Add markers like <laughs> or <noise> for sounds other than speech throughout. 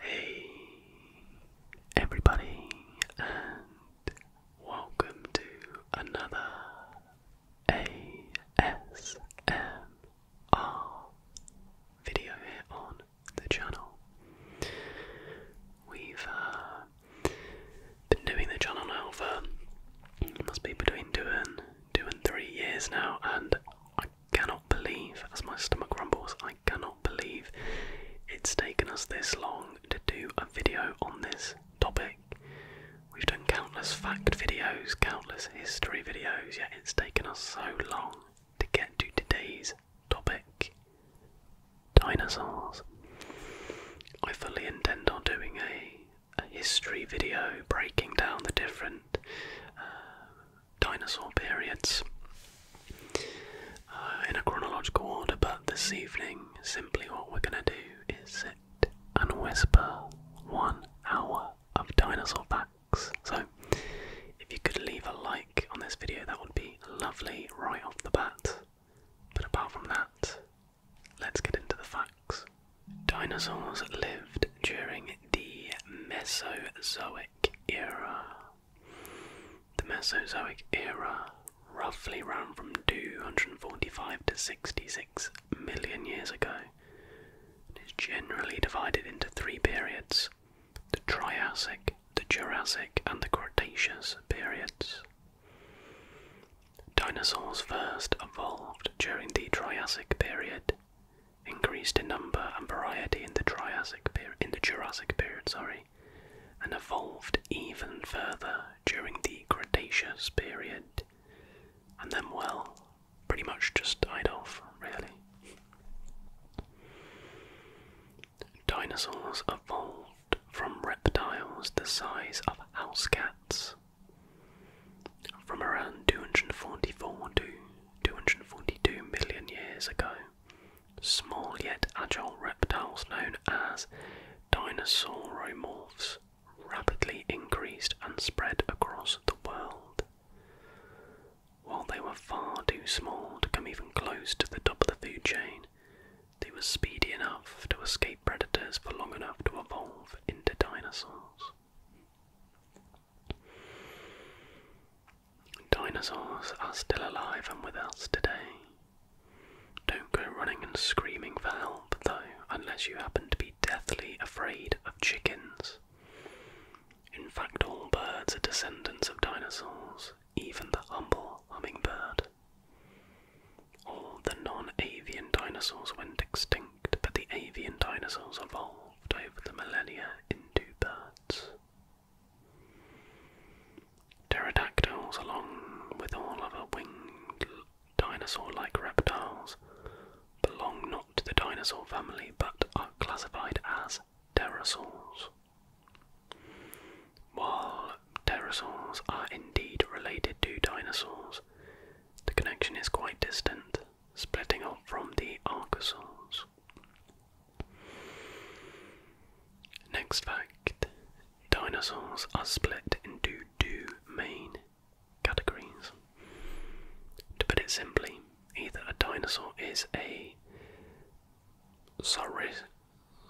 Hey everybody and welcome to another ASMR video here on the channel. We've uh, been doing the channel now for must be between two and two and three years now and cannot believe, as my stomach rumbles, I cannot believe it's taken us this long to do a video on this topic. We've done countless fact videos, countless history videos, yet it's taken us so long to get to today's topic dinosaurs. I fully intend on doing a, a history video breaking down the different uh, dinosaur periods uh, in a chronological order, but this evening, simply what we're going to do is sit and whisper one hour of dinosaur facts. So, if you could leave a like on this video, that would be lovely right off the bat. But apart from that, let's get into the facts. Dinosaurs lived during the Mesozoic era, the Mesozoic era roughly ran from 245 to 66 million years ago and is generally divided into three periods the Triassic, the Jurassic, and the Cretaceous periods. Dinosaurs first evolved during the Triassic period, increased in number and variety in the Triassic period, in the Jurassic period, sorry, and evolved even further during the Cretaceous period, and then well, pretty much just died off, really. Dinosaurs evolved from reptiles the size of house cats from around 244 to 242 million years ago small yet agile reptiles known as dinosauromorphs rapidly increased and spread across the world. While they were far too small to come even close to the top of the food chain, they were speedy enough to escape predators for long enough to evolve into dinosaurs. Dinosaurs are still alive and with us today. Don't go running and screaming for help, though, unless you happen to be deathly afraid of chickens. In fact, all birds are descendants of dinosaurs, even the humble hummingbird. All the non avian dinosaurs went extinct, but the avian dinosaurs evolved over the millennia into birds. Pterodactyls, along with all other winged dinosaur like reptiles, belong not to the dinosaur family but are classified as pterosaurs. While pterosaurs are indeed related to dinosaurs, the connection is quite distant, splitting off from the archosaurs. Next fact dinosaurs are split into two main categories. To put it simply, either a dinosaur is a sauris,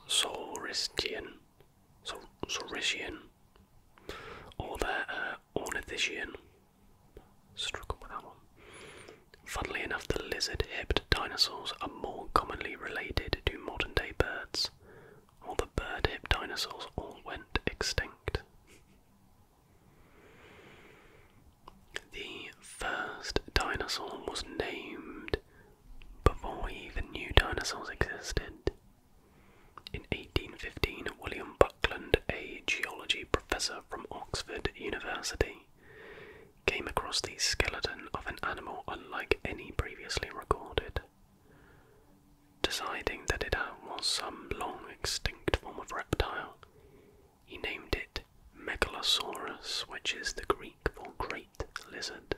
sauristian, or they're ornithischian, Funnily enough, the lizard hipped dinosaurs are more commonly related to modern day birds, while the bird hipped dinosaurs all went extinct. The first dinosaur was named before we even knew dinosaurs existed. In 1815, William Buckland, a geology professor from Oxford University, came across the skeleton of an animal unlike any previously recorded. Deciding that it was some long extinct form of reptile, he named it Megalosaurus, which is the Greek for great lizard.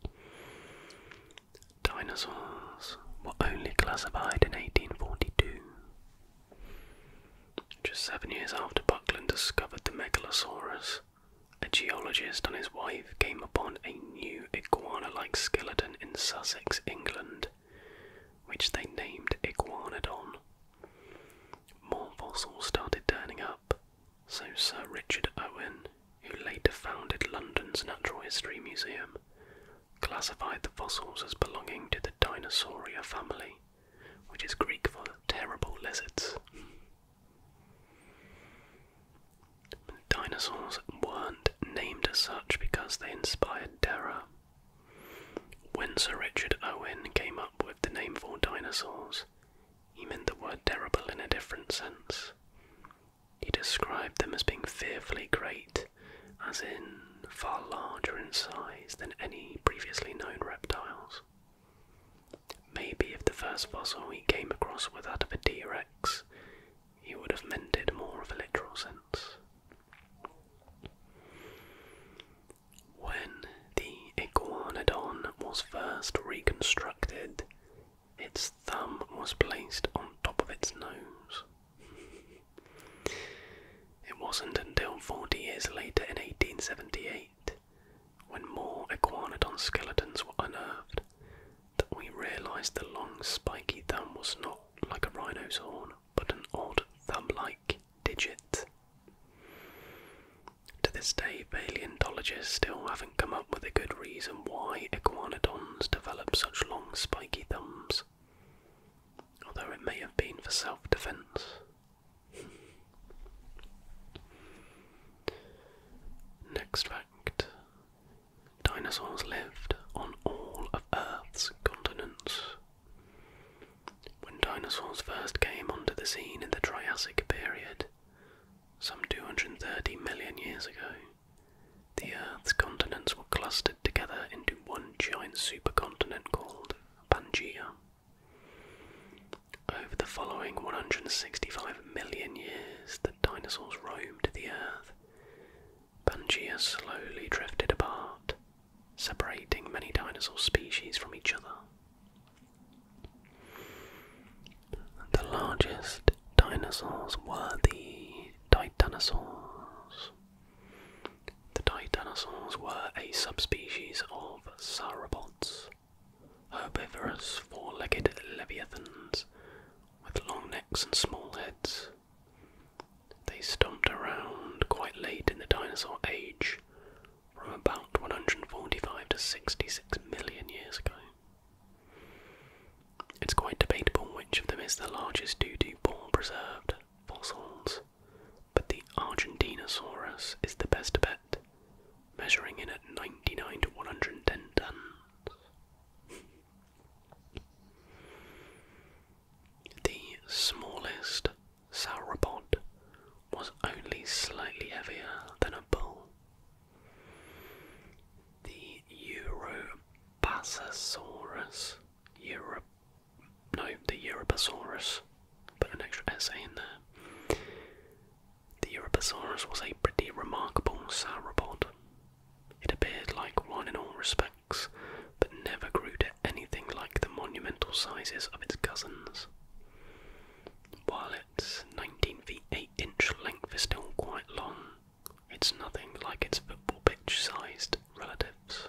<laughs> Dinosaurs were only classified in 1842. Just seven years after Buckland discovered the Megalosaurus, a geologist and his wife came upon a new iguana like skeleton in Sussex, England, which they named Iguanodon. More fossils started turning up, so Sir Richard Owen, who later founded London's Natural History Museum, classified the fossils as belonging to the Dinosauria family which is Greek for terrible lizards. Dinosaurs weren't named as such because they inspired terror. When Sir Richard Owen came up with the name for dinosaurs, he meant the word terrible in a different sense. He described them as being fearfully great as in far larger in size than any previously known reptiles. Maybe if the first fossil he came across was that of a T Rex, he would have meant it more of a literal sense. When the iguanodon was first reconstructed, its thumb was placed on top of its nose. It wasn't until 40 years later in 1878, when more iguanodon skeletons were unearthed, that we realised the long spiky thumb was not like a rhino's horn, but an odd thumb-like digit. To this day, paleontologists still haven't come up with a good reason why iguanodons developed such long spiky thumbs although it may have been for self defense. Next fact dinosaurs lived on all of Earth's continents. When dinosaurs first came onto the scene in the Triassic period, some 230 million years ago, the Earth's continents were clustered together into one giant supercontinent called Pangea. Over the following 165 million years the dinosaurs roamed the Earth, Pangaea slowly drifted apart, separating many dinosaur species from each other. The largest dinosaurs were the titanosaurs, the titanosaurs were a subspecies of sauropods, herbivorous four-legged leviathans with long necks and small heads. They stomped around quite late in the dinosaur age, from about 145 to 66 million years ago. It's quite debatable which of them is the largest due to ball preserved fossils, but the Argentinosaurus is the best bet, measuring in at 99 to 110 tons. the smallest sauropod was only slightly heavier than a bull. The Europasaurus, Europe no, the Europasaurus. Put an extra essay in there. The Europasaurus was a pretty remarkable sauropod. It appeared like one in all respects, but never grew to anything like the monumental sizes of its cousins. While its 19 feet 8 inch length is still quite long, it's nothing like its football pitch sized relatives.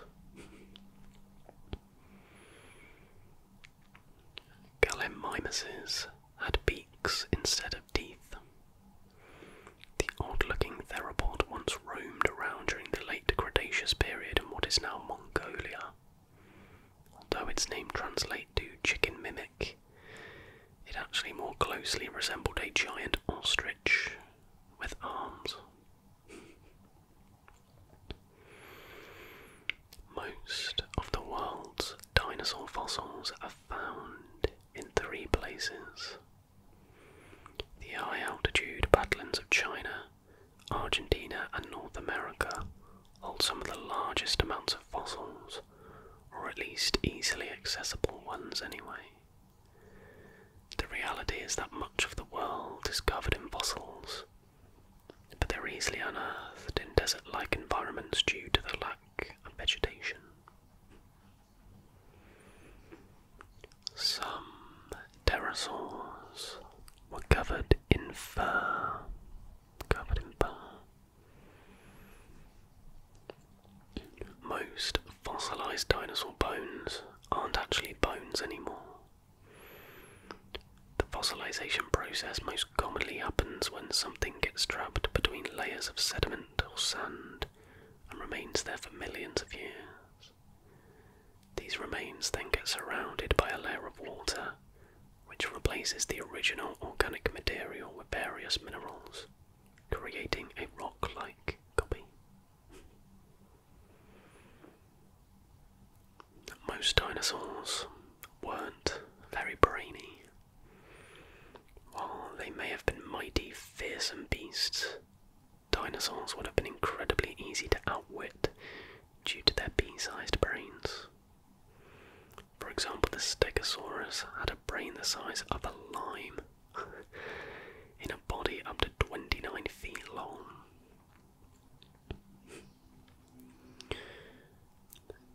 Gallimimuses had beaks instead of teeth. The odd-looking theropod once roamed around during the late Cretaceous period in what is now Mongolia. Although its name translates to chicken mimic, it actually more closely resembled a giant ostrich with arms, most of the world's dinosaur fossils are found in three places the high altitude badlands of China, Argentina, and North America hold some of the largest amounts of fossils, or at least easily accessible ones anyway. The reality is that much of the world is covered in fossils, but they're easily unearthed in desert like environments due to the lack of vegetation. Some pterosaurs were covered in fur. Covered in fur. Most fossilized dinosaur bones aren't actually bones anymore. The fossilization process most commonly happens when something gets trapped between layers of sediment or sand and remains there for millions of years. These remains then get surrounded by a layer of water, which replaces the original organic material with various minerals, creating a rock like copy. Most dinosaurs weren't very brainy. While they may have been mighty, fearsome beasts, dinosaurs would have been incredibly easy to outwit due to their pea sized brains. For example, the Stegosaurus had a brain the size of a lime <laughs> in a body up to 29 feet long.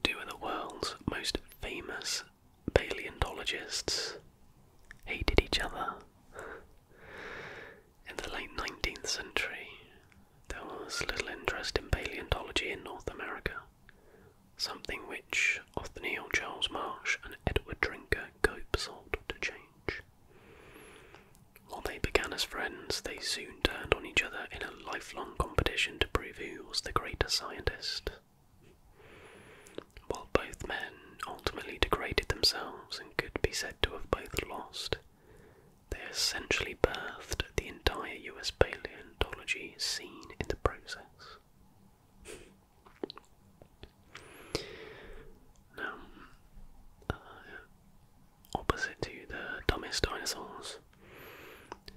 Two of the world's most famous paleontologists hated each other. In the late 19th century, there was little interest in paleontology in North America, something which Othniel Charles Marsh and Edward Drinker Cope sought to change. While they began as friends, they soon turned on each other in a lifelong competition to prove who was the greater scientist. While both men ultimately degraded themselves and could be said to have both lost, they essentially birthed the entire US paleontology scene in the process. Now, uh, opposite to the dumbest dinosaurs,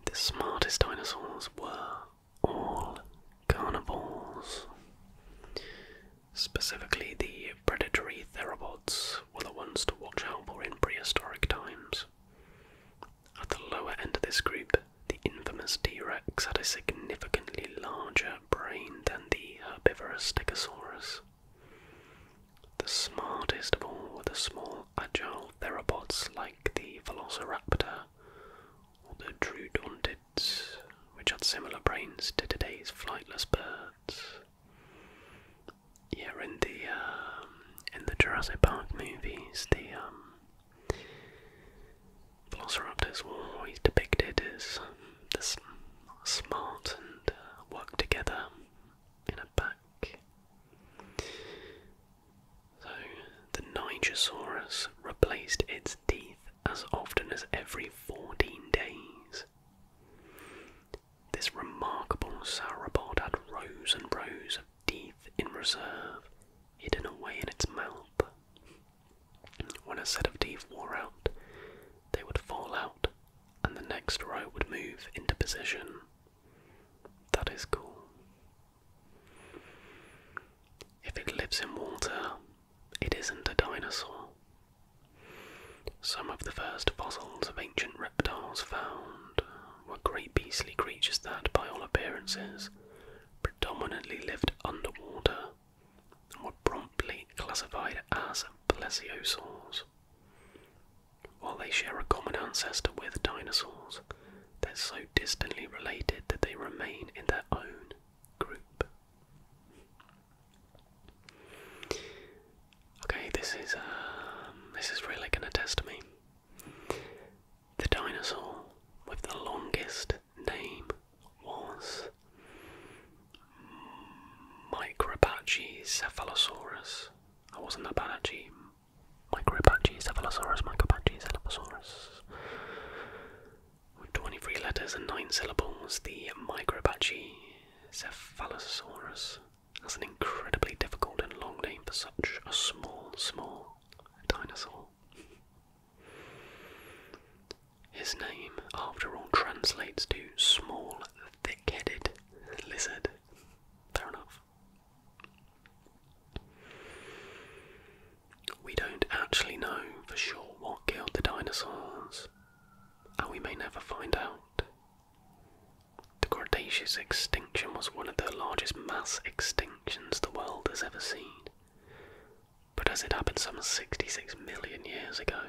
the smartest dinosaurs were all carnivores. Specifically, the predatory theropods were the ones to watch out for in prehistoric times. At the lower end of this group, the infamous T Rex had a significantly larger brain than the herbivorous Stegosaurus. The smartest of all were the small, agile theropods like the Velociraptor or the Drudontids, which had similar brains to today's flightless birds. Yeah, in the um, in the Jurassic Park movies, the um, Velociraptors were always depicted as this smart and uh, work together in a pack. So the Nigersaurus replaced its teeth as often as every 14 days. This remarkable sauropod had rows and rows of teeth in reserve, hidden away in its mouth. When a set of teeth wore out, they would fall out and the next row would move into position. That is cool. If it lives in water, it isn't a dinosaur. Some of the first fossils of ancient reptiles found were great beastly creatures that, by all appearances, predominantly lived underwater were promptly classified as plesiosaurs. While they share a common ancestor with dinosaurs, they're so distantly related that they remain in their own group. Okay, this is um, this is really gonna test me. The dinosaur with the longest name was Micropachi I wasn't Apache. Micropachi cephalosaurus, Micropachi cephalosaurus. 23 letters and 9 syllables, the Micropachi That's an incredibly difficult and long name for such a small, small dinosaur. His name, after all, translates to small, thick headed lizard. Fair enough. We don't actually know for sure what killed the dinosaurs, and we may never find out. The Cretaceous extinction was one of the largest mass extinctions the world has ever seen, but as it happened some 66 million years ago,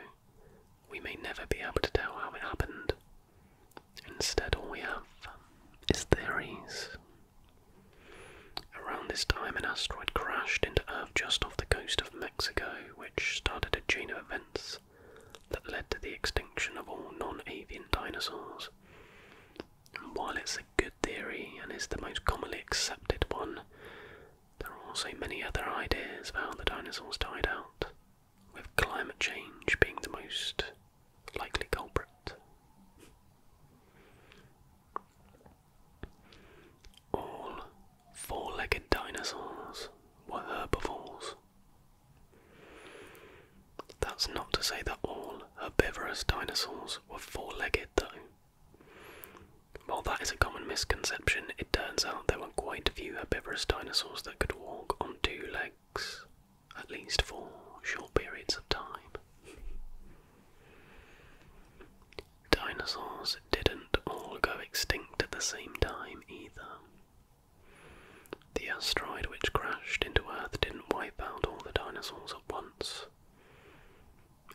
we may never be able to tell how it happened. Instead, all we have is theories. Around this time, an asteroid crashed into Earth just off the coast of Mexico, which started a chain of events that led to the extinction of all non avian dinosaurs. while it's a good theory and is the most commonly accepted one, there are also many other ideas about how the dinosaurs died out, with climate change being the most likely culprit. All four legged dinosaurs were herbivores. That's not to say that all herbivorous dinosaurs were four legged, though. While that is a common misconception, it turns out there were quite a few herbivorous dinosaurs that could walk on two legs, at least for short periods of time. Dinosaurs didn't all go extinct at the same time either. The asteroid which crashed into Earth didn't wipe out all the dinosaurs at once.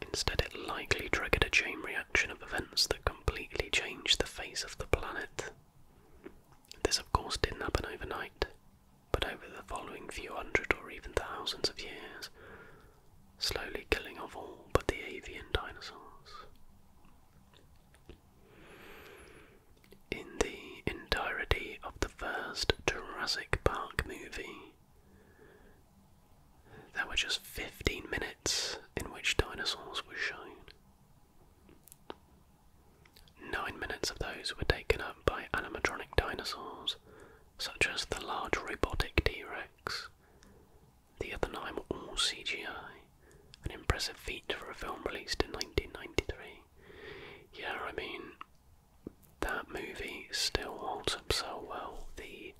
Instead, it likely triggered a chain reaction of events that completely changed the face of the planet. This, of course, didn't happen overnight, but over the following few hundred or even thousands of years, slowly killing off all but the avian dinosaurs. In the entirety of the first Jurassic Park movie, there were just 15 minutes in which dinosaurs were shown. Nine minutes of those were taken up by animatronic dinosaurs, such as the large robotic T Rex. The other nine were all CGI, an impressive feat for a film released in 1993. Yeah, I mean, that movie still holds up so well. The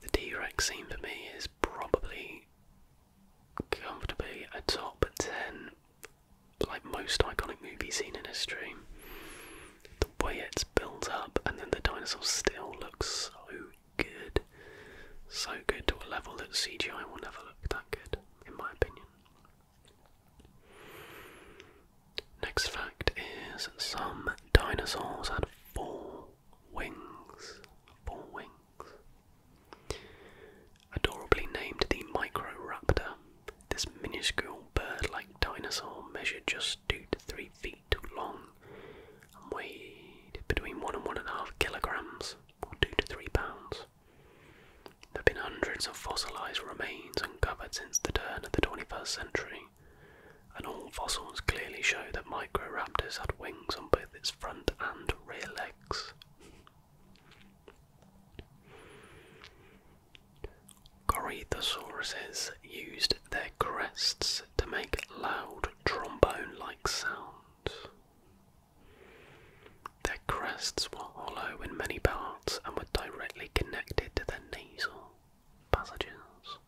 the T Rex scene for me is probably comfortably a top 10, like most iconic movie scene in history. The way it's built up, and then the dinosaur still looks so good. So good to a level that CGI will never look that good, in my opinion. Next fact is some dinosaurs had four Wings. Four wings. Adorably named the Microraptor, this minuscule bird like dinosaur measured just two to three feet long and weighed between one and one and a half kilograms, or two to three pounds. There have been hundreds of fossilized remains uncovered since the turn of the 21st century, and all fossils clearly show that Microraptors had wings on both its front and rear legs. Corythosauruses used their crests to make loud trombone like sounds. Their crests were hollow in many parts and were directly connected to their nasal passages.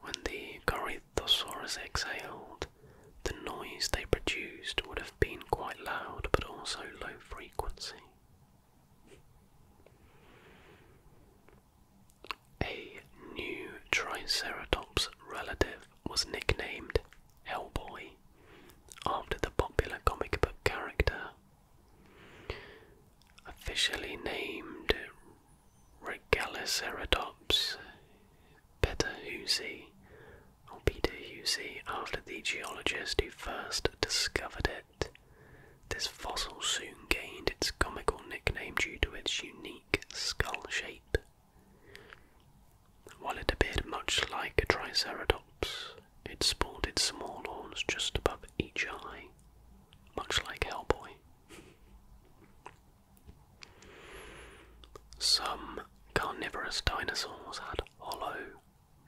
When the Corythosaurus exhaled, the noise they produced would have been quite loud but also low frequency. A new Triceratops relative was nicknamed Hellboy after the popular comic book character. Officially named Regaliceratops, Peter Husey, or Peter Husey, after the geologist who first discovered it. This fossil soon gained its comical nickname due to its unique skull shape. While it appeared much like a triceratops, it sported small horns just above each eye, much like Hellboy. Some carnivorous dinosaurs had hollow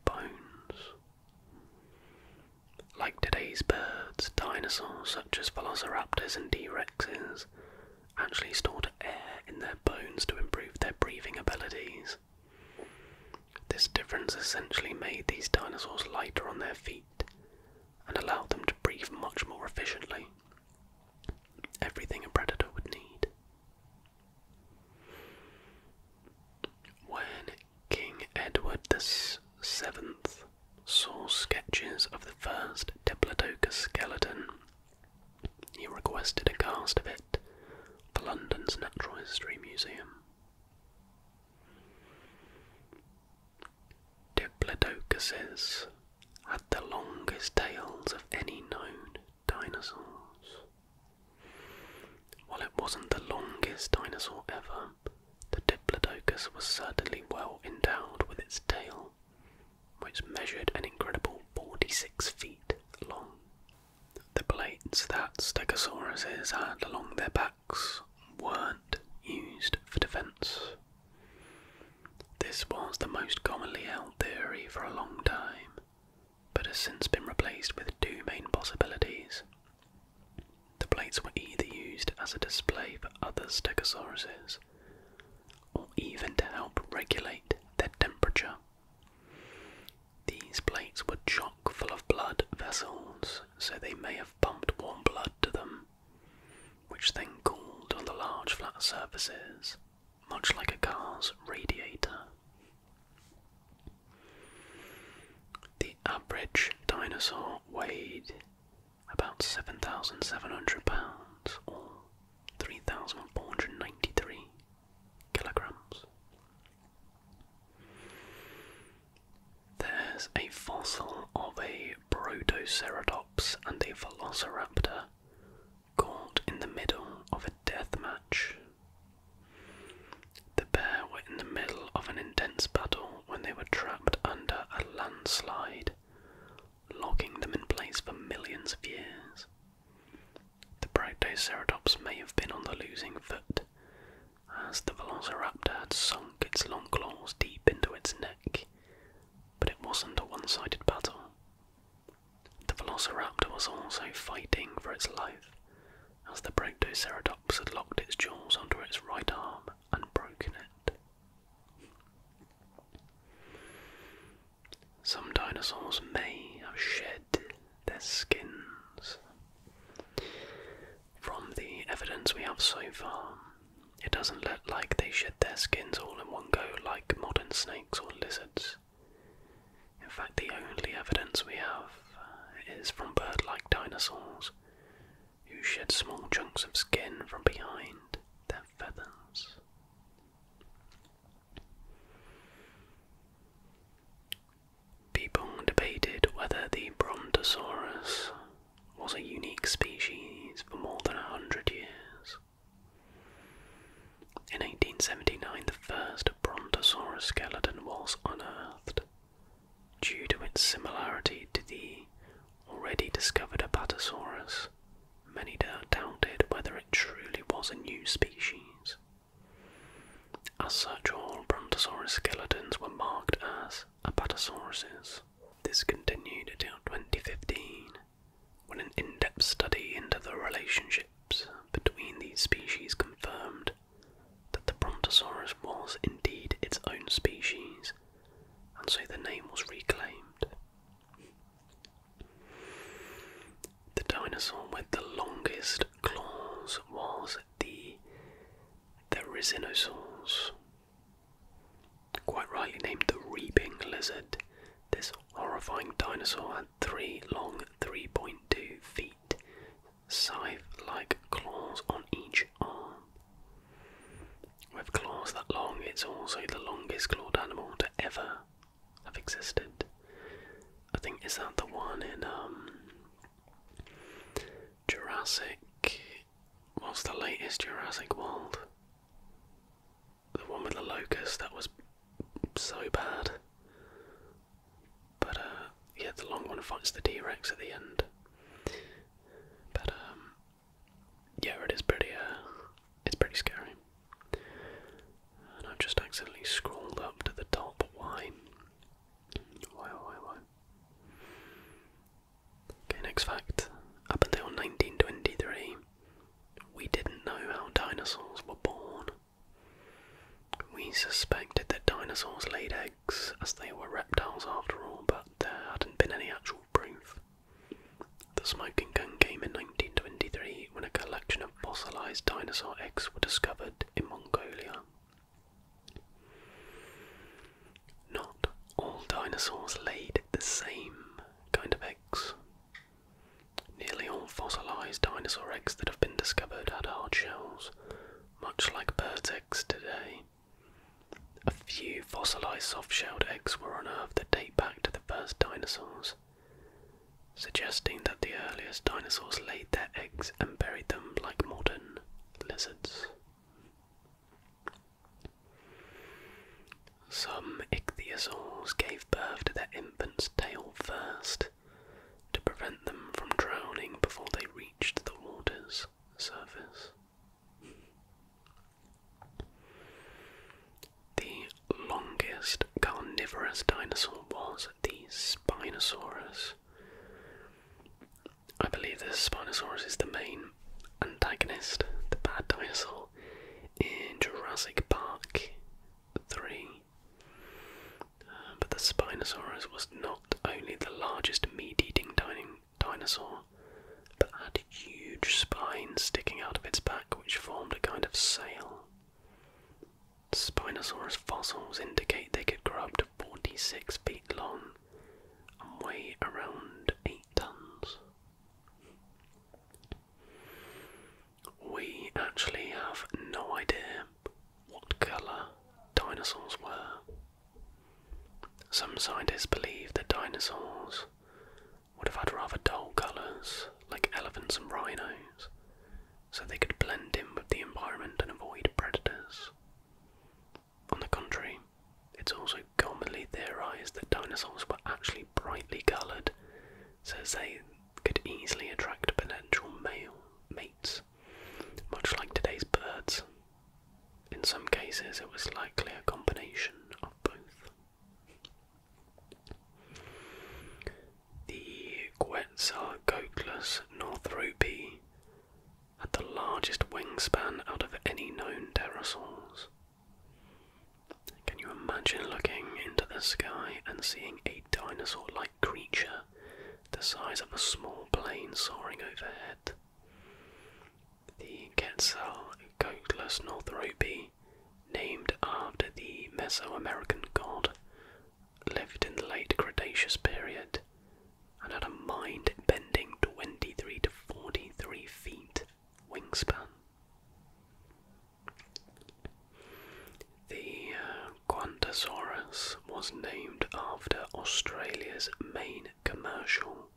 bones. Like today's birds, dinosaurs such as velociraptors and D Rexes actually stored air in their bones to improve their breathing abilities. This difference essentially made these dinosaurs lighter on their feet and allow them to breathe much more efficiently. Everything a predator would need. When King Edward VII saw sketches of the first Diplodocus skeleton, he requested a cast of it for London's Natural History Museum. Diplodocuses had the longest tails of any known dinosaurs. While it wasn't the longest dinosaur ever, the Diplodocus was certainly well endowed with its tail, which measured an incredible 46 feet long. The plates that Stegosauruses had along their back weren't used for defence. This was the most commonly held theory for a long time, but has since been replaced with two main possibilities. The plates were either used as a display for other stegosauruses, or even to help regulate their temperature. These plates were chock full of blood vessels, so they may have pumped warm blood to them which then cooled on the large flat surfaces, much like a car's radiator. The average dinosaur weighed about 7,700 pounds or 3,493 kilograms. There's a fossil of a Protoceratops and a Velociraptor caught in the middle of a death match. The pair were in the middle of an intense battle when they were trapped under a landslide, locking them in place for millions of years. The Protoceratops may have been on the losing foot, as the Velociraptor had some its long claws deep into its neck, but it wasn't a one sided battle. The velociraptor was also fighting for its life, as the Brachioceratops had locked its jaws under its right arm and broken it. Some dinosaurs may have shed their skins. From the evidence we have so far, it doesn't look like they shed their skins all in one go like modern snakes or lizards. In fact, the only evidence we have uh, is from bird like dinosaurs who shed small chunks of skin from behind their feathers. People debated whether the Brontosaurus was a unique species for more than a hundred years. In 1879, the first Brontosaurus skeleton was unearthed due to its similarity to the already discovered Apatosaurus. Many doubted whether it truly was a new species. As such, all Brontosaurus skeletons were marked as Apatosauruses. This continued until 2015, when an in depth study into the relationships between these species confirmed that the Brontosaurus was indeed its own species, and so the name was reclaimed. The dinosaur with the longest claws was the Therizinosaurs, Quite rightly named the Reaping Lizard, this horrifying dinosaur had three long 3.2 feet, scythe like claws on each arm. With claws that long, it's also the longest clawed animal to ever have existed. I think is that the one in um Jurassic what's the latest Jurassic World? The one with the locust that was so bad. But uh, yeah, the long one fights the T Rex at the end. But um, yeah, it is pretty. Uh, it's pretty scary. And I've just accidentally scrolled up to the top. Why? Why? Why? Okay, next fact. Up until 1923, we didn't know how dinosaurs were born. We suspected that dinosaurs laid eggs, as they were reptiles after all, but there hadn't been any actual proof. The smoking gun came in 1923 when a collection of fossilized dinosaur eggs were discovered in Mongolia. Not all dinosaurs laid the same kind of eggs. Nearly all fossilized dinosaur eggs that have been discovered had hard shells, much like birds' eggs today. A few fossilized soft shelled eggs were unearthed that date back to the first dinosaurs, suggesting that the earliest dinosaurs laid their eggs and buried them like modern lizards. Some ichthyosaurs gave birth to their infant's tail first to prevent them from drowning before they reached the water's surface. The longest carnivorous dinosaur was the Spinosaurus. I believe the Spinosaurus is the main antagonist, the bad dinosaur, in Jurassic Park 3. Uh, but the Spinosaurus was not only the largest meat eating din dinosaur, but had a huge spine sticking out of its back which formed a kind of sail. Spinosaurus fossils indicate they could grow up to 46 feet long weigh around 8 tons. We actually have no idea what colour dinosaurs were. Some scientists believe that dinosaurs would have had rather dull colours, like elephants and rhinos, so they could blend in with the environment and avoid predators. On the contrary, it's also commonly theorized that dinosaurs were actually brightly colored, so they could easily attract potential male mates, much like today's birds. In some cases, it was likely a combination of both. The Quetzalcoatlus northropi had the largest wingspan out of any known pterosaurs. Can you imagine looking into the sky and seeing a dinosaur like creature the size of a small plane soaring overhead? The Quetzal coatless northrope, named after the Mesoamerican god, lived in the late Cretaceous period and had a mind bending 23 to 43 feet wingspan. The uh, was named after Australia's main commercial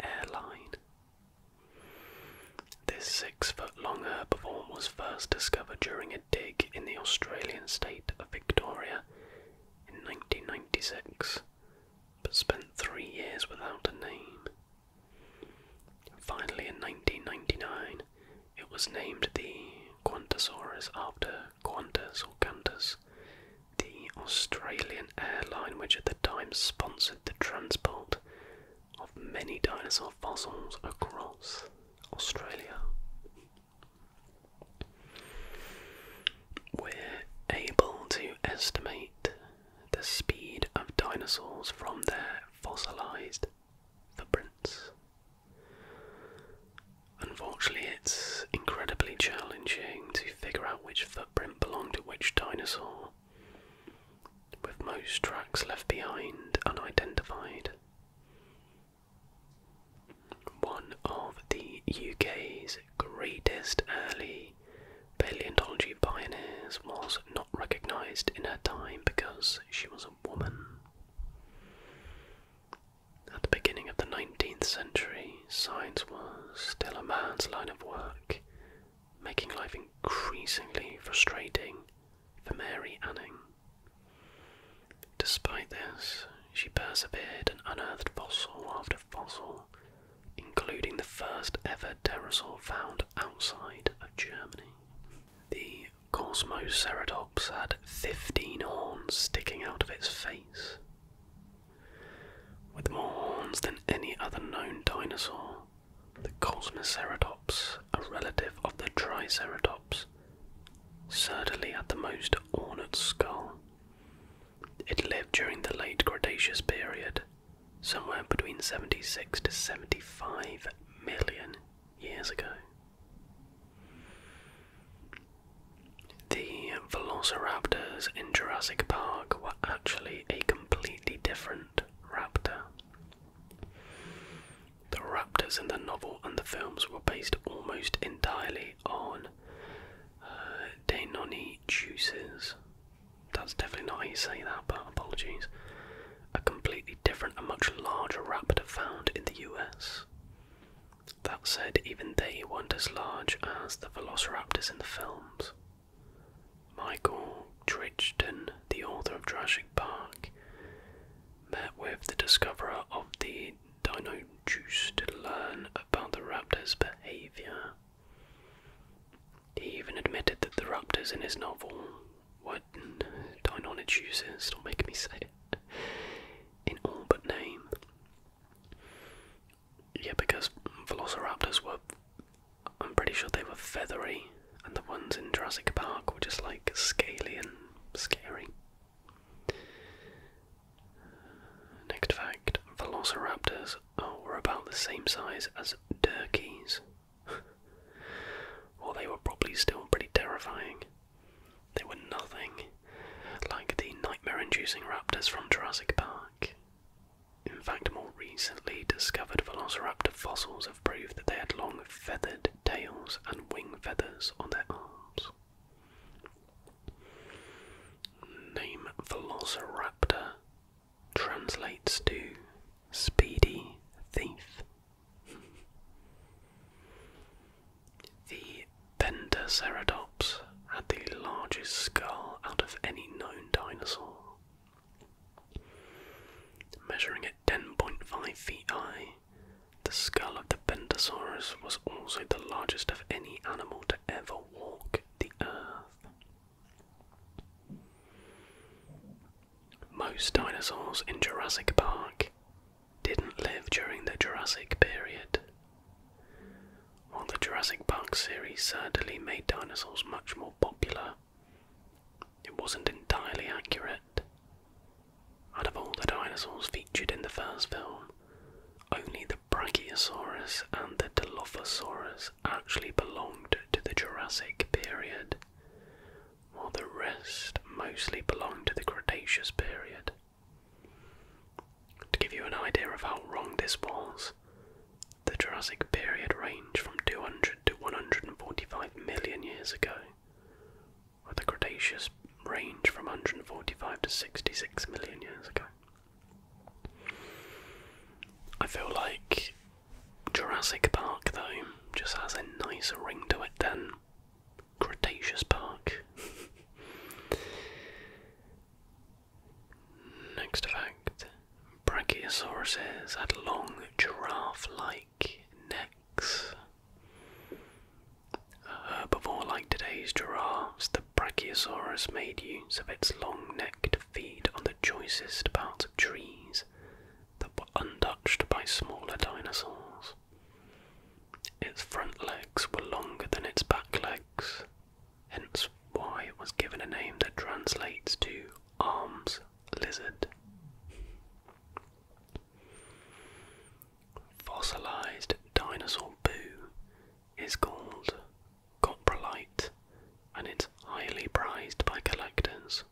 airline. This six foot long herbivore was first discovered during a dig in the Australian state of Victoria in 1996 but spent three years without a name. Finally, in 1999, it was named the Qantasaurus after Qantas or Qantas, the Australian airline which at the time sponsored the transport of many dinosaur fossils across Australia. We're able to estimate the speed of dinosaurs from their fossilized footprints. Unfortunately, it's incredibly challenging to figure out which footprint belonged to which dinosaur, with most tracks left behind unidentified one of the UK's greatest early paleontology pioneers, was not recognised in her time because she was a woman. At the beginning of the 19th century, science was still a man's line of work, making life increasingly frustrating for Mary Anning. Despite this, she persevered and unearthed fossil after fossil including the first ever dinosaur found outside of Germany. The Cosmoceratops had 15 horns sticking out of its face. With more horns than any other known dinosaur, the Cosmoceratops, a relative of the Triceratops, certainly had the most ornate skull it lived during the late Cretaceous period, somewhere between 76 to 75 million years ago. The velociraptors in Jurassic Park were actually a completely different raptor. The raptors in the novel and the films were based almost entirely on uh, Deinonychus, That's definitely not how you say that, but apologies. A completely different and much larger raptor found in the US. That said, even they weren't as large as the velociraptors in the films. Michael Crichton, the author of Jurassic Park, met with the discoverer of the Dino Juice to learn about the raptors' behavior. He even admitted that the raptors in his novel were Deinonychus, users, stop making me say it, in all but name. Yeah, because velociraptors were, I'm pretty sure they were feathery, and the ones in Jurassic Park were just like scaly and scary. Next fact velociraptors were about the same size as turkeys. or <laughs> they were probably still pretty terrifying. They were nothing like the nightmare inducing raptors from Jurassic Park. In fact, more recently discovered velociraptor fossils have proved that they had long feathered tails and wing feathers on their arms. Name Velociraptor translates to speedy thief. the Pentaceratops had the largest skull out of any known dinosaur. Measuring at 10.5 feet high, the skull of the Pentasaurus was also the largest of any animal to ever walk the Earth. Most dinosaurs in Jurassic Park didn't live during the Jurassic period. While the Jurassic Park series sadly made dinosaurs much more popular, it wasn't entirely accurate. Out of all the dinosaurs featured in the first film, only the Brachiosaurus and the Dilophosaurus actually belonged to the Jurassic period, while the rest mostly belonged to the Cretaceous period. To give you an idea of how wrong this was, the Jurassic period ranged from 200 to 145 million years ago, while the Cretaceous ranged from 145 to 66 million years ago. I feel like Jurassic Park, though, just has a nicer ring to it than Cretaceous Park. <laughs> Next fact Brachiosauruses had long giraffe like necks. herbivore like today's giraffes, Brachiosaurus made use of its long neck to feed on the choicest parts of trees that were untouched by smaller dinosaurs. Its front legs were longer than its back legs, hence why it was given a name that translates to arms lizard. Fossilized dinosaur poo is called coprolite and it's highly prized by collectors.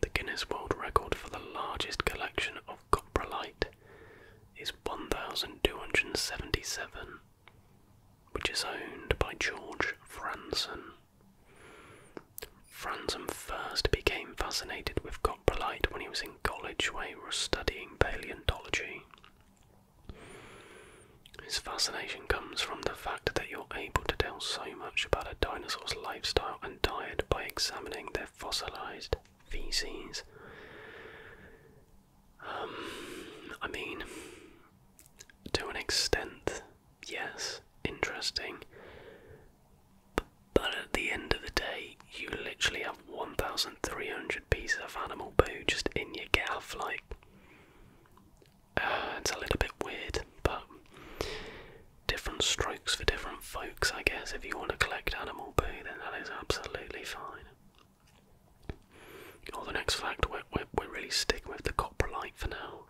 The Guinness World Record for the largest collection of coprolite is 1277, which is owned by George Franson. Franson first became fascinated with coprolite when he was in college where he was studying paleontology. This fascination comes from the fact that you're able to tell so much about a dinosaur's lifestyle and diet by examining their fossilized feces. Um, I mean, to an extent, yes, interesting. But at the end of the day, you literally have 1,300 pieces of animal poo just in your gaff, like. Uh, it's a little bit weird, but different strokes for different folks, I guess. If you want to collect animal poo, then that is absolutely fine. oh, the next fact, we we we really sticking with the coprolite for now.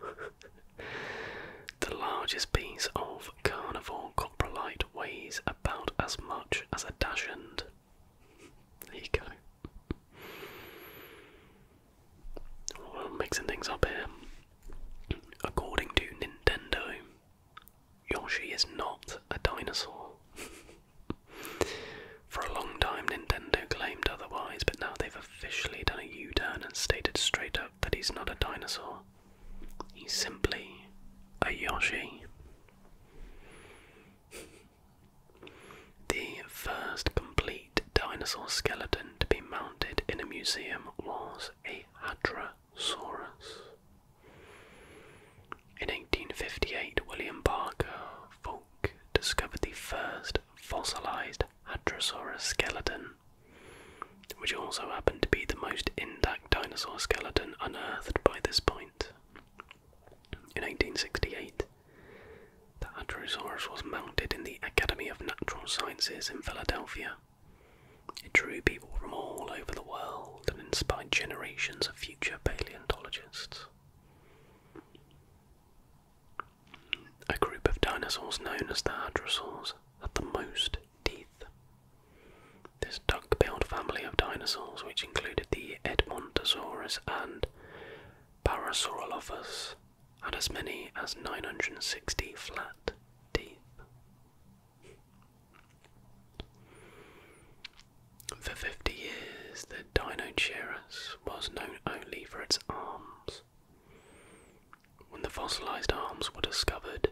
<laughs> the largest piece of carnivore coprolite weighs about as much as a dachshund. There you go. Well, mixing things up here. According to Nintendo, Yoshi is not a dinosaur. <laughs> For a long time, Nintendo claimed otherwise, but now they've officially done a U turn and stated straight up that he's not a dinosaur. He's simply a Yoshi the first complete dinosaur skeleton to be mounted in a museum was a Hadrosaurus. In 1858, William Barker Folk discovered the first fossilized Hadrosaurus skeleton, which also happened to be the most intact dinosaur skeleton unearthed by this point. In 1868, the Hadrosaurus was mounted in the Academy of Natural Sciences in Philadelphia. It drew people from all over the world and inspired generations of future paleontologists. A group of dinosaurs known as the Hadrosaurs had the most teeth. This duck-billed family of dinosaurs, which included the Edmontosaurus and Parasaurolophus, had as many as 960 flat teeth. For 50 years, the Dinocerus was known only for its arms. When the fossilized arms were discovered,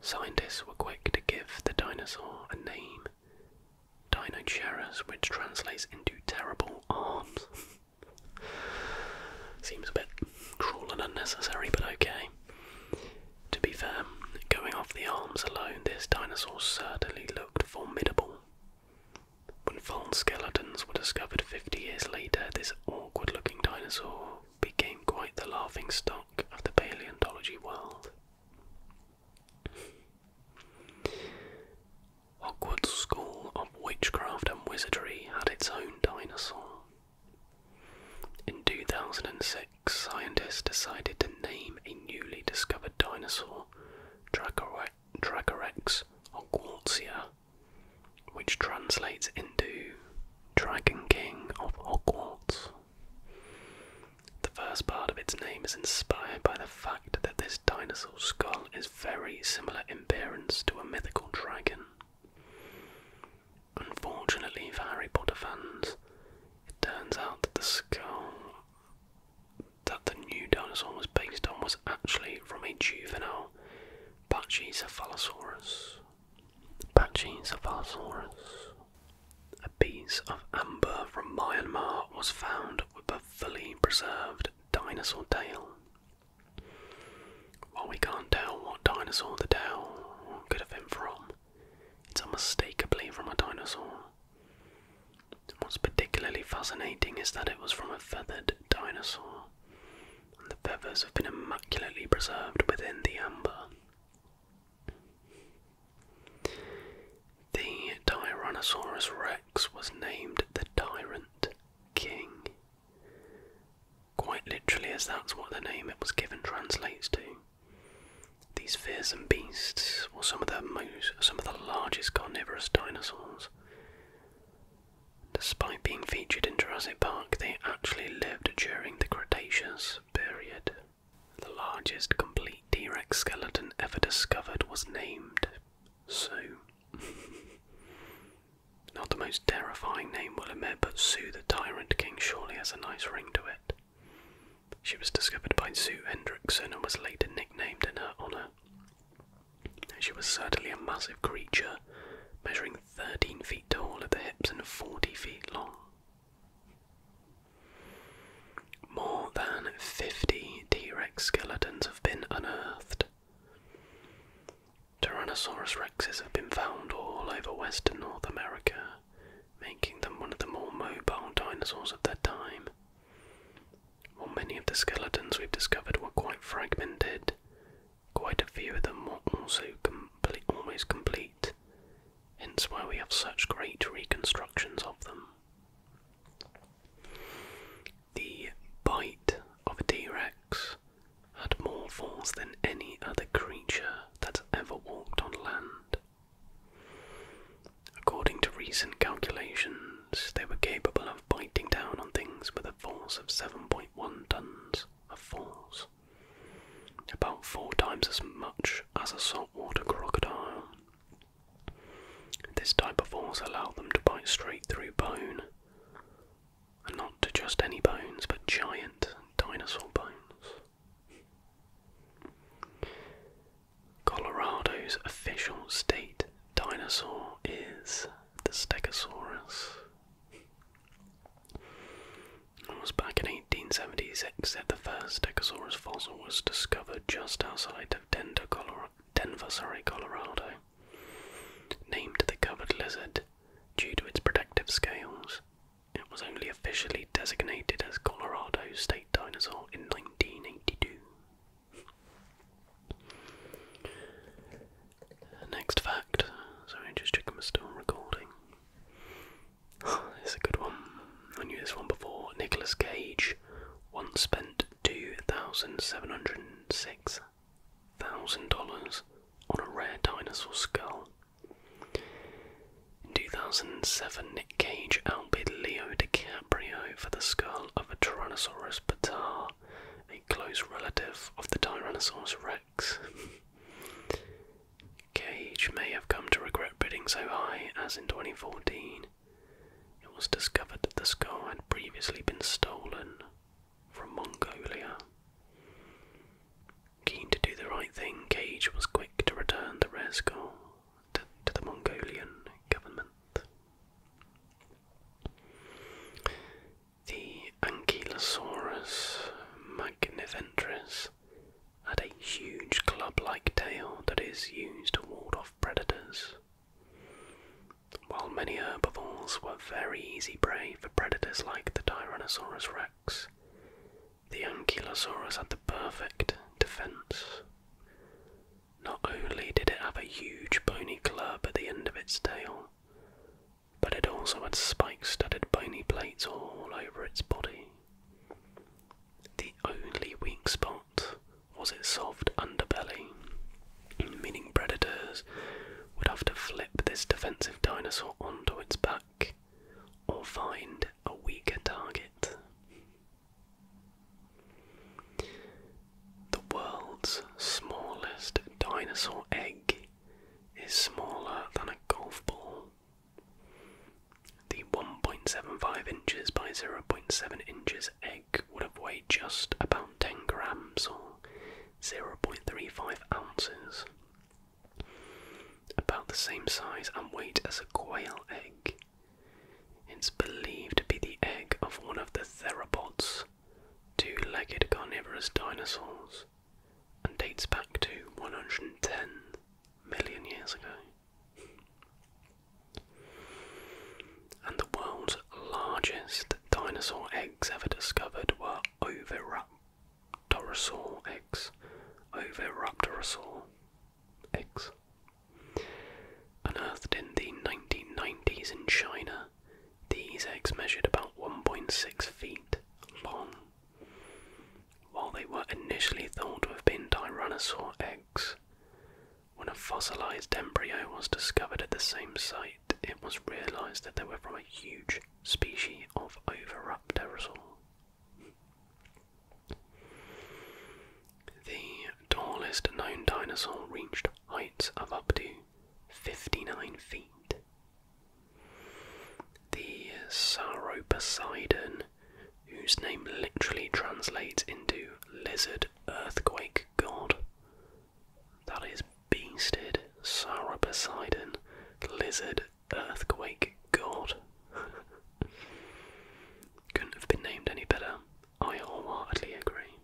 scientists were quick to give the dinosaur a name. Dinocharis, which translates into terrible arms. <laughs> Seems a bit cruel and unnecessary, but okay. To be fair, going off the arms alone, this dinosaur certainly looked formidable. When fallen skeletons were discovered 50 years later, this awkward looking dinosaur became quite the laughing stock of the paleontology world. Ogwart's School of Witchcraft and Wizardry had its own dinosaur. In 2006, scientists decided to name a newly discovered dinosaur Dracorex Dracorex which translates into Dragon King of Hogwarts. The first part of its name is inspired by the fact that this dinosaur skull is very similar in appearance to a mythical dragon. Unfortunately for Harry Potter fans, it turns out that the skull that the new dinosaur was based on was actually from a juvenile Pachycephalosaurus. Pachycephalosaurus. A piece of amber from Myanmar was found with a fully preserved dinosaur tail. While we can't tell what dinosaur the tail could have been from, it's unmistakably from a dinosaur. What's particularly fascinating is that it was from a feathered dinosaur, and the feathers have been immaculately preserved within the amber. The Tyrannosaurus rex was named the Tyrant King, quite literally, as that's what the name it was given translates to. These fearsome beasts were some of the most, some of the largest carnivorous dinosaurs. Despite being featured in Jurassic Park, they actually lived during the Cretaceous period. The largest complete T Rex skeleton ever discovered was named Sue. <laughs> Not the most terrifying name, will admit, but Sue the Tyrant King surely has a nice ring to it. She was discovered by Sue Hendrickson and was later nicknamed in her honour. She was certainly a massive creature, measuring 13 feet tall at the hips and 40 feet long. More than 50 T Rex skeletons have been unearthed. Tyrannosaurus rexes have been found all over western North America, making them one of the more mobile dinosaurs of their time. While many of the skeletons we've discovered were quite fragmented, quite a few of them were almost complete, hence why we have such great reconstructions of them. The bite of a T Rex had more force than any other creature that ever walked on land. According to recent calculations, they were capable of biting down on things with a force of 7.1 tons of force, about four times as much as a saltwater crocodile. This type of force allows them to bite straight through bone, and not to just any bones, but giant dinosaur bones. Colorado's official state dinosaur is the Stegosaurus. It was back in in that the first Stegosaurus fossil was discovered just outside of Denver, Colorado, Named the covered lizard due to its protective scales, it was only officially designated as Colorado's state dinosaur in 1982. Next fact, sorry, just checking we're still recording. <sighs> It's a good one. I knew this one before. Nicolas Cage once spent two thousand seven hundred and six thousand dollars on a rare dinosaur skull. In two thousand and seven, Nick Cage outbid Leo DiCaprio for the skull of a Tyrannosaurus patar, a close relative of the Tyrannosaurus rex. Cage may have come to regret bidding so high, as in 2014 it was discovered that the skull had previously been stolen from Mongolia. Keen to do the right thing, Cage was quick to return the rare skull to, the Mongolian government. The Ankylosaurus magniventris had a huge club like tail that is used to ward off predators. While many herbivores were very easy prey for predators like the Tyrannosaurus rex, the Ankylosaurus had the perfect defense. Not only did it have a huge bony club at the end of its tail, but it also had spike studded bony plates all over its body. The only weak spot was its soft underbelly, meaning predators would have to flip this defensive dinosaur onto its back or find a weaker target. The world's smallest dinosaur egg is smaller than a golf ball the 1.75 inches by 0.7 inches egg would have weighed just about 10 grams or 0.35 ounces, about the same size and weight as a quail egg. It's believed to be the egg of one of the theropods, two legged carnivorous dinosaurs, and dates back to 110 million years ago. And the world's largest dinosaur eggs ever discovered were Oviraptorosaur eggs. Oviraptorosaur eggs. Unearthed in the 1990s in China, these eggs measured about 1.6 feet long while they were initially thought to have been Tyrannosaur eggs. When a fossilized embryo was discovered at the same site, it was realized that they were from a huge species of Oviraptorosaur. The tallest known dinosaur reached heights of up to 59 feet. The sauroposeidon whose name literally translates into lizard earthquake god. That is beasted, Sarah Poseidon, lizard earthquake god. <laughs> Couldn't have been named any better. I wholeheartedly agree.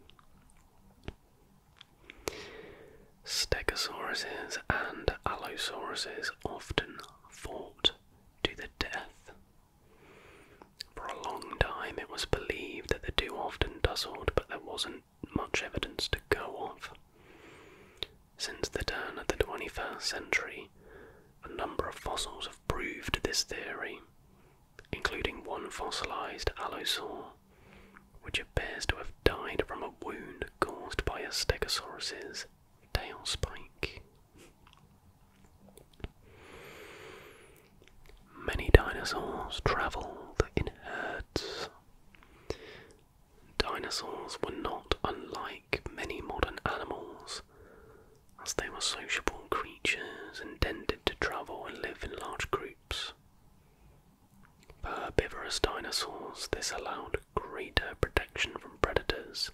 Stegosauruses and allosauruses often fought to the death. For a long time, it was believed that the two often tussled, but there wasn't much evidence to go off. Since the turn of the 21st century, a number of fossils have proved this theory, including one fossilized allosaur, which appears to have died from a wound caused by a stegosaurus's Tailspike. Many dinosaurs travelled in herds. Dinosaurs were not unlike many modern animals, as they were sociable creatures intended to travel and live in large groups. For herbivorous dinosaurs, this allowed greater protection from predators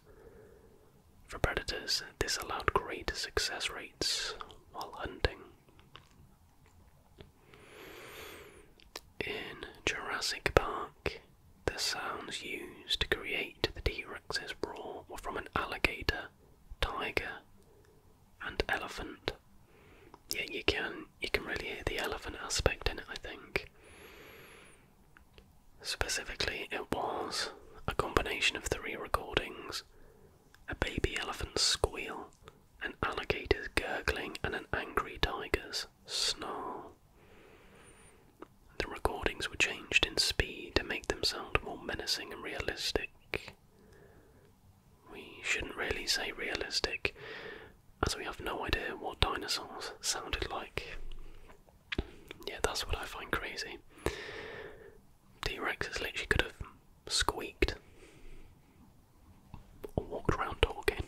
for predators, this allowed great success rates while hunting. In Jurassic Park, the sounds used to create the T Rex's roar were from an alligator, tiger, and elephant. Yeah, you can you can really hear the elephant aspect in it, I think. Specifically, it was a combination of three recordings a baby elephant's squeal, an alligator's gurgling, and an angry tiger's snarl. The recordings were changed in speed to make them sound more menacing and realistic. We shouldn't really say realistic, as we have no idea what dinosaurs sounded like. Yeah, that's what I find crazy. T Rexes literally could have squeaked or walked around talking.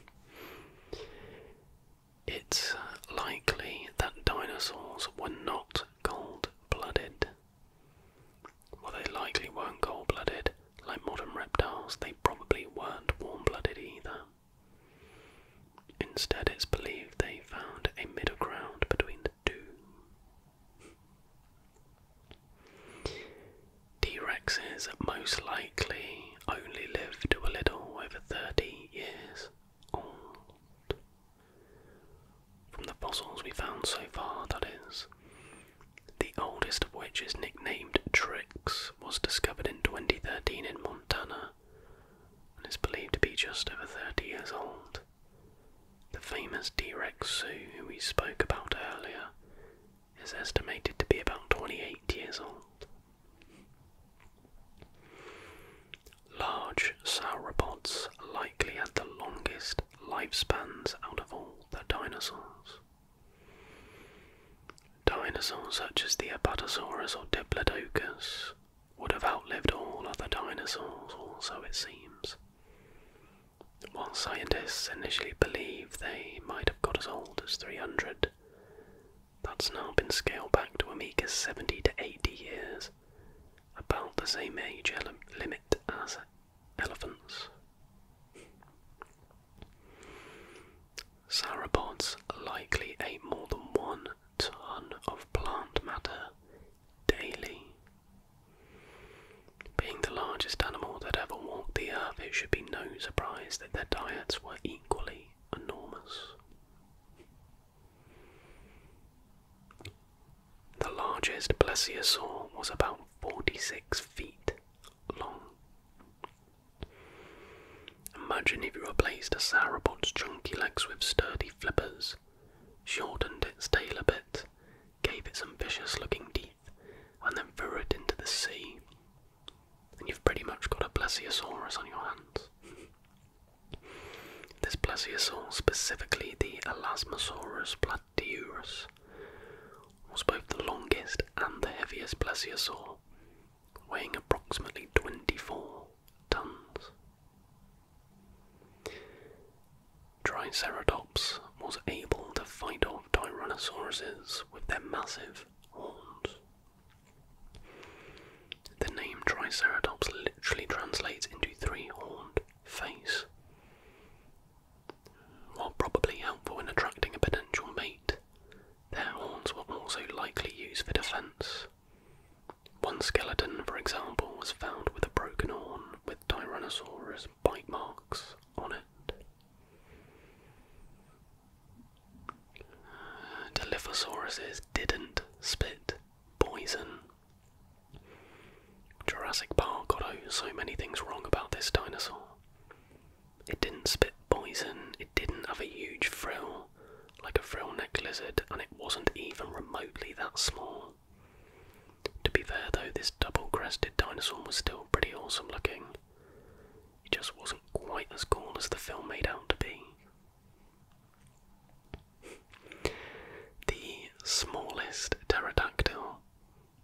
It's uh, likely that dinosaurs were not cold blooded. Well, they likely weren't cold blooded. Like modern reptiles, they probably weren't warm blooded either. Instead, it's believed they found a middle ground between the two. T Rexes most likely only lived to a little over 30 years old. From the fossils we found so far, that is, the oldest of which is nicknamed Trix was discovered in 2013 in Montana and is believed to be just over 30 years old. The famous T-Rex zoo who we spoke about earlier is estimated to be about 28 years old. Large sauropods likely had the longest lifespans out of all the dinosaurs. Dinosaurs such as the Apatosaurus or Diplodocus would have outlived all other dinosaurs, also, it seems. While scientists initially believed they might have got as old as 300, that's now been scaled back to a meagre 70 to 80 years, about the same age limit as elephants. Sauropods likely ate more than one ton of plant matter daily. Being the largest animal that ever walked the earth, it should be no surprise that their diets were equally enormous. The largest plesiosaur was about 46 feet long. Imagine if you replaced a sauropod's chunky legs with sturdy flippers, shortened its tail a bit, gave it some vicious looking teeth, and then threw it into the sea. And you've pretty much got a plesiosaurus on your hands. <laughs> This plesiosaur, specifically the Elasmosaurus platyurus, was both the longest and the heaviest plesiosaur weighing approximately 24 tons. Triceratops was able to fight off Tyrannosaurus with their massive horns. The name Triceratops literally translates into three horned face. While probably helpful in attracting a potential mate, their horns were also likely used for defense, one skeleton, for example, was found with a broken horn with Tyrannosaurus bite marks on it. Dilophosauruses didn't spit poison. Jurassic Park got so many things wrong about this dinosaur. It didn't spit poison, it didn't have a huge frill like a frill necked lizard, and it wasn't even remotely that small. To be fair though, this double crested dinosaur was still pretty awesome looking. It just wasn't quite as cool as the film made out to be. The smallest pterodactyl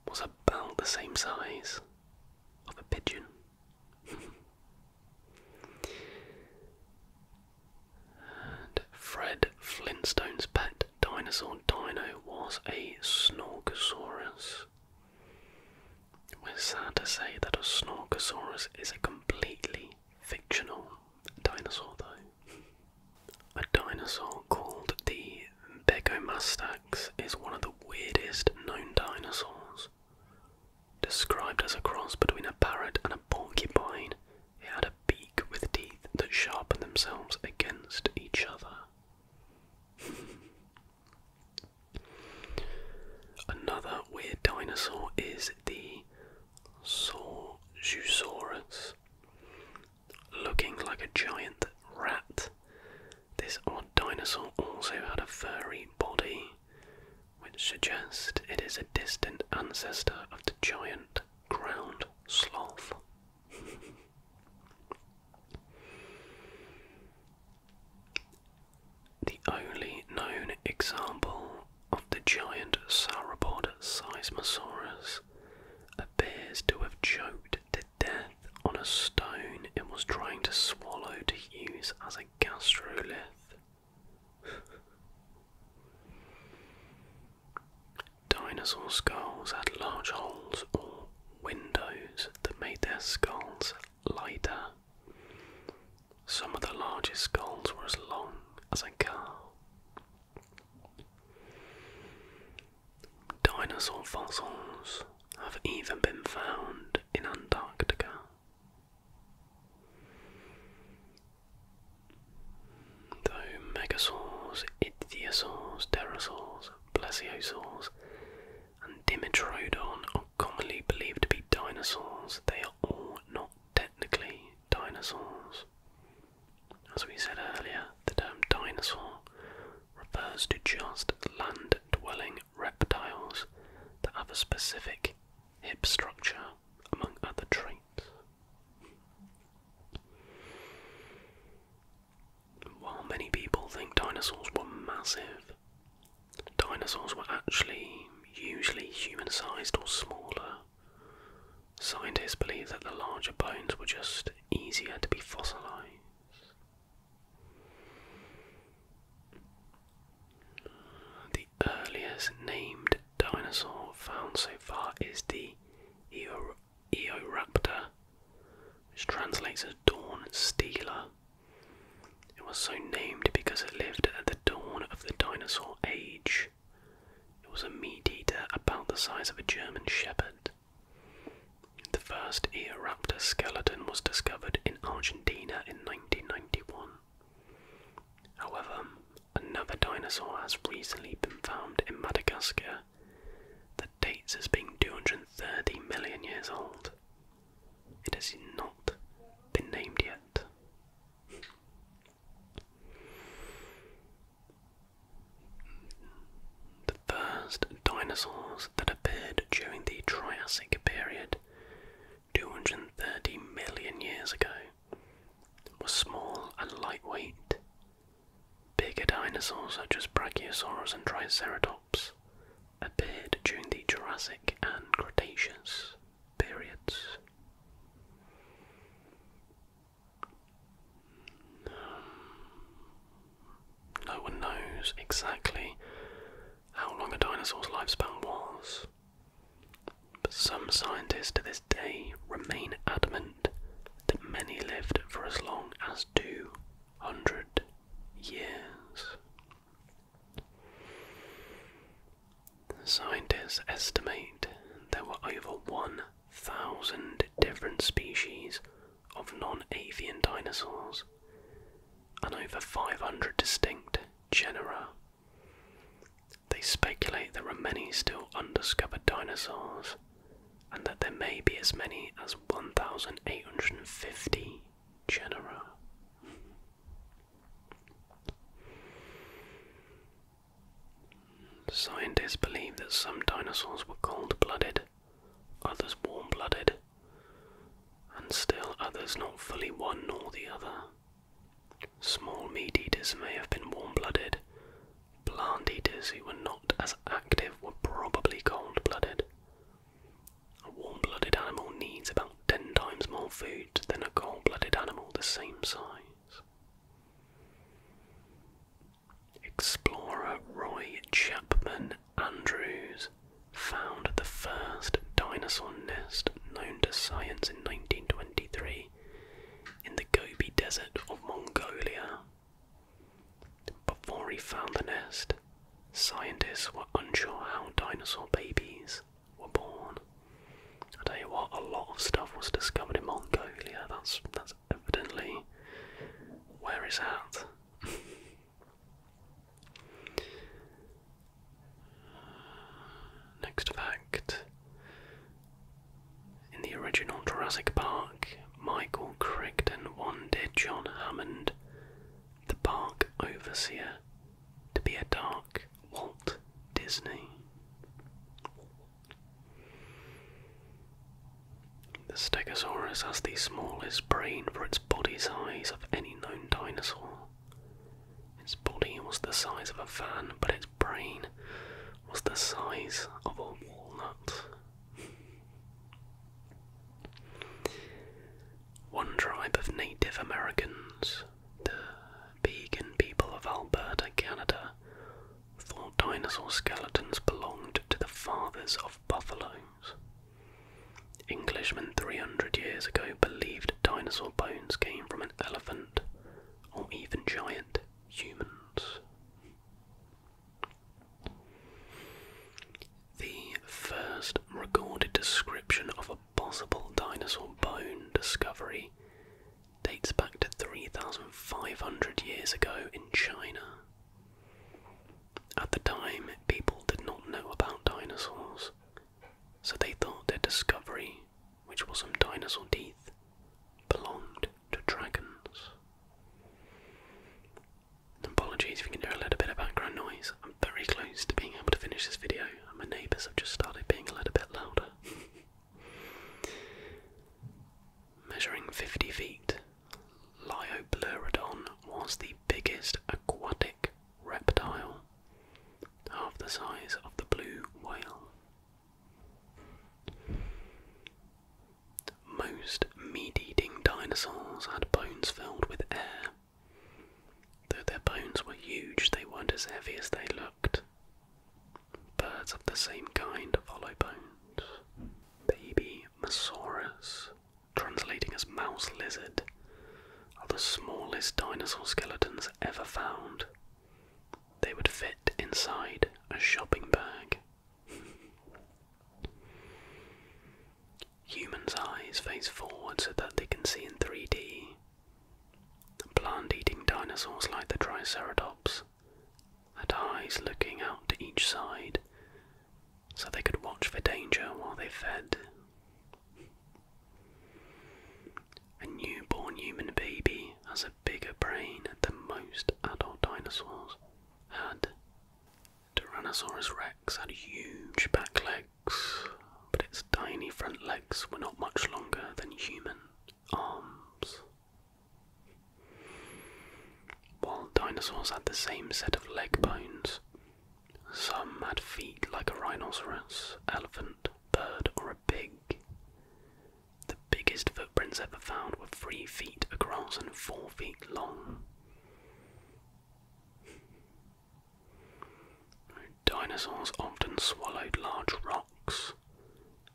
was about the same size of a pigeon. <laughs> Fred Flintstone's pet dinosaur Dino was a Snorkosaurus. We're sad to say that a Snorkosaurus is a completely fictional dinosaur, though. A dinosaur called the Begomastax is one of the weirdest known dinosaurs. Described as a cross between a parrot and a porcupine, it had a beak with teeth that sharpened themselves against each other. <laughs> Another weird dinosaur is the Saurosaurus. Looking like a giant rat, this odd dinosaur also had a furry body which suggests it is a distant ancestor of the giant ground sloth. <laughs> the only known example of the giant sauropod Seismosaurus appears to have choked to death on a stone it was trying to swallow to use as a gastrolith. Dinosaur skulls had large holes or windows that made their skulls lighter. Some of the largest skulls were as long as a car. Dinosaur fossils have even been found in Antarctica. Though megasaurs, ichthyosaurs, pterosaurs, plesiosaurs, and dimetrodon are commonly believed to be dinosaurs, they are all not technically dinosaurs. As we said earlier, the term dinosaur refers to just land dwelling reptiles that have a specific hip structure among other traits. While many people think dinosaurs were massive, dinosaurs were actually usually human sized or smaller. Scientists believe that the larger bones were just easier to be fossilized. The earliest named dinosaur found so far is the Eoraptor, which translates as dawn stealer. It was so named because it lived at the dawn of the dinosaur age. It was a meat eater about the size of a German shepherd. The first Eoraptor skeleton was discovered in Argentina in 1991. However, another dinosaur has recently been found in Madagascar that dates as being 230 million years old. It has not been named yet. The first dinosaurs that appeared during the Triassic period 230 million years ago, was small and lightweight. Bigger dinosaurs such as Brachiosaurus and Triceratops appeared during the Jurassic and Cretaceous periods. no one knows exactly how long a dinosaur's lifespan was, but some scientists to this day remain adamant that many lived for as long as 200 years. Scientists estimate there were over 1,000 different species of non avian dinosaurs and over 500 distinct genera they speculate there are many still undiscovered dinosaurs and that there may be as many as 1,850 genera. Scientists believe that some dinosaurs were cold blooded, others warm blooded, and still others not fully one nor the other. Small meat eaters may have been warm blooded. Plant eaters who were not as active were probably cold blooded. A warm blooded animal needs about 10 times more food than a cold blooded animal the same size. Explorer Roy Chapman Andrews found the first dinosaur nest known to science in 1923 in the Gobi Desert of Mongolia. Before he found the nest, scientists were unsure how dinosaur babies were born. I tell you what, a lot of stuff was discovered in Mongolia. That's that's evidently where it's at. <laughs> Next fact In the original Jurassic Park, Michael Crichton wanted John Hammond, the park overseer, to be a dark Walt Disney. The Stegosaurus has the smallest brain for its body size of any known dinosaur. Its body was the size of a fan, but its brain was the size of a walnut. One tribe of Native Americans, the Beagan people of Alberta, Canada, thought dinosaur skeletons belonged to the fathers of buffaloes. Englishmen 300 years ago believed dinosaur bones came from an elephant or even giant humans. The first recorded description of a possible dinosaur bone discovery dates back to 3,500 years ago in China. At the time, people did not know about dinosaurs, so they thought their discovery, which was some dinosaur teeth, belonged to dragons. Apologies if you can hear a little bit of background noise. I'm very close to being able to finish this video, and my neighbours have just started being a little bit louder. <laughs> Measuring 50 feet, Liopleurodon was the biggest aquatic reptile half the size of the blue whale. Most meat eating dinosaurs had bones filled with air. Though their bones were huge, they weren't as heavy as they looked. Birds of the same kind hollow bones. Baby Mosaurus, translating as mouse lizard, are the smallest dinosaur skeletons ever found. They would fit inside a shopping bag. Humans' eyes face forward so that they can see in 3D. Plant eating dinosaurs like the Triceratops had eyes looking out to each side so they could watch for danger while they fed. A newborn human baby has a bigger brain than most adult dinosaurs had. Tyrannosaurus rex had huge back legs, but its tiny front legs were not much longer than human arms. While dinosaurs had the same set of leg bones, some had feet like a rhinoceros, elephant, bird, or a pig. The biggest footprints ever found were three feet across and four feet long. Dinosaurs often swallowed large rocks.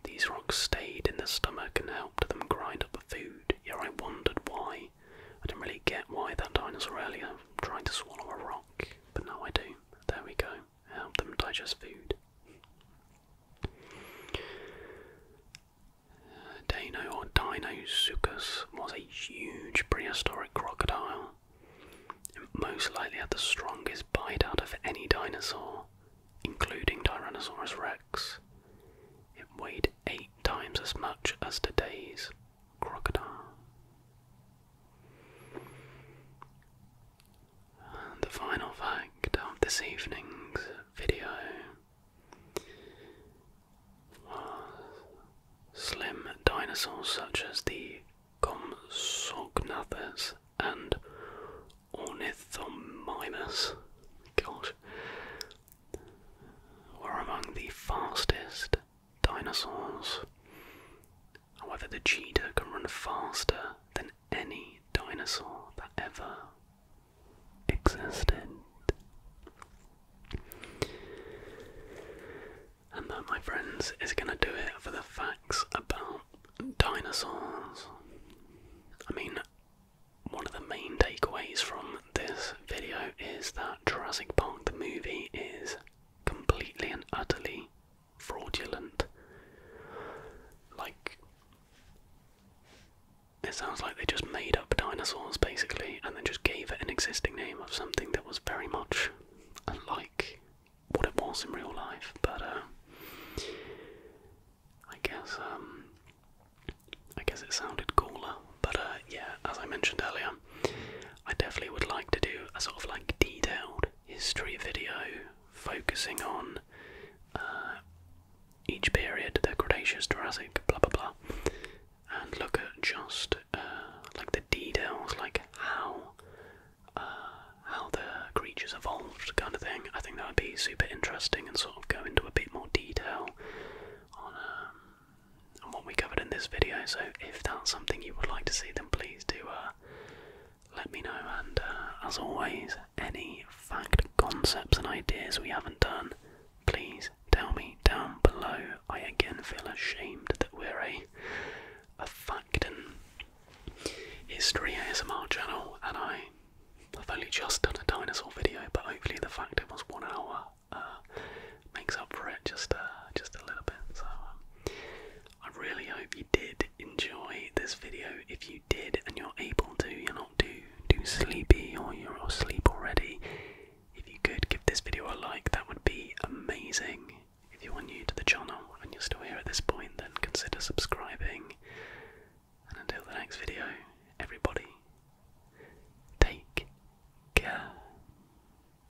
These rocks stayed in the stomach and helped them grind up the food. Yeah, I wondered why. I didn't really get why that dinosaur earlier tried to swallow a rock, but now I do there we go, help them digest food. Uh, Dino or Dinosuchus was a huge prehistoric crocodile. most likely had the strongest bite out of any dinosaur, including Tyrannosaurus rex. It weighed eight times as much as today's crocodile the final fact of this evening's video was slim dinosaurs such as the Compsognathus and Ornithomimus, were among the fastest dinosaurs. However, the cheetah can run faster than any dinosaur that ever existed. And that, my friends, is going to do it for the facts about dinosaurs. I mean, one of the main takeaways from this video is that Jurassic Park the movie is completely and utterly fraudulent. Like, it sounds like they just made up dinosaurs basically and then just gave it an existing name of something that was very much unlike what it was in real life. But, uh, I guess, um, I guess it sounded cooler. But, uh, yeah, as I mentioned earlier, I definitely would like to do a sort of like detailed history video focusing on uh, each period, the Cretaceous, Jurassic, blah blah blah, and look at just uh, like the details, like how uh, how the creatures evolved, kind of thing. I think that would be super interesting and sort of go into a bit more detail on um, and what we covered in this video. So if that's something you would like to see, then please do uh, let me know. And uh, as always, any fact, concepts, and ideas we haven't done, please tell me down below. I again feel ashamed that we're a a fact and history ASMR channel, and I. have only just done a dinosaur video, but hopefully the fact it was one hour uh, makes up for it just uh, just a little bit. So um, I really hope you did enjoy this video. If you did and you're able to, you're not too too sleepy or you're asleep already. If you could give this video a like, that would be amazing. If you are new to the channel and you're still here at this point, then consider subscribing. And until the next video, everybody, take care.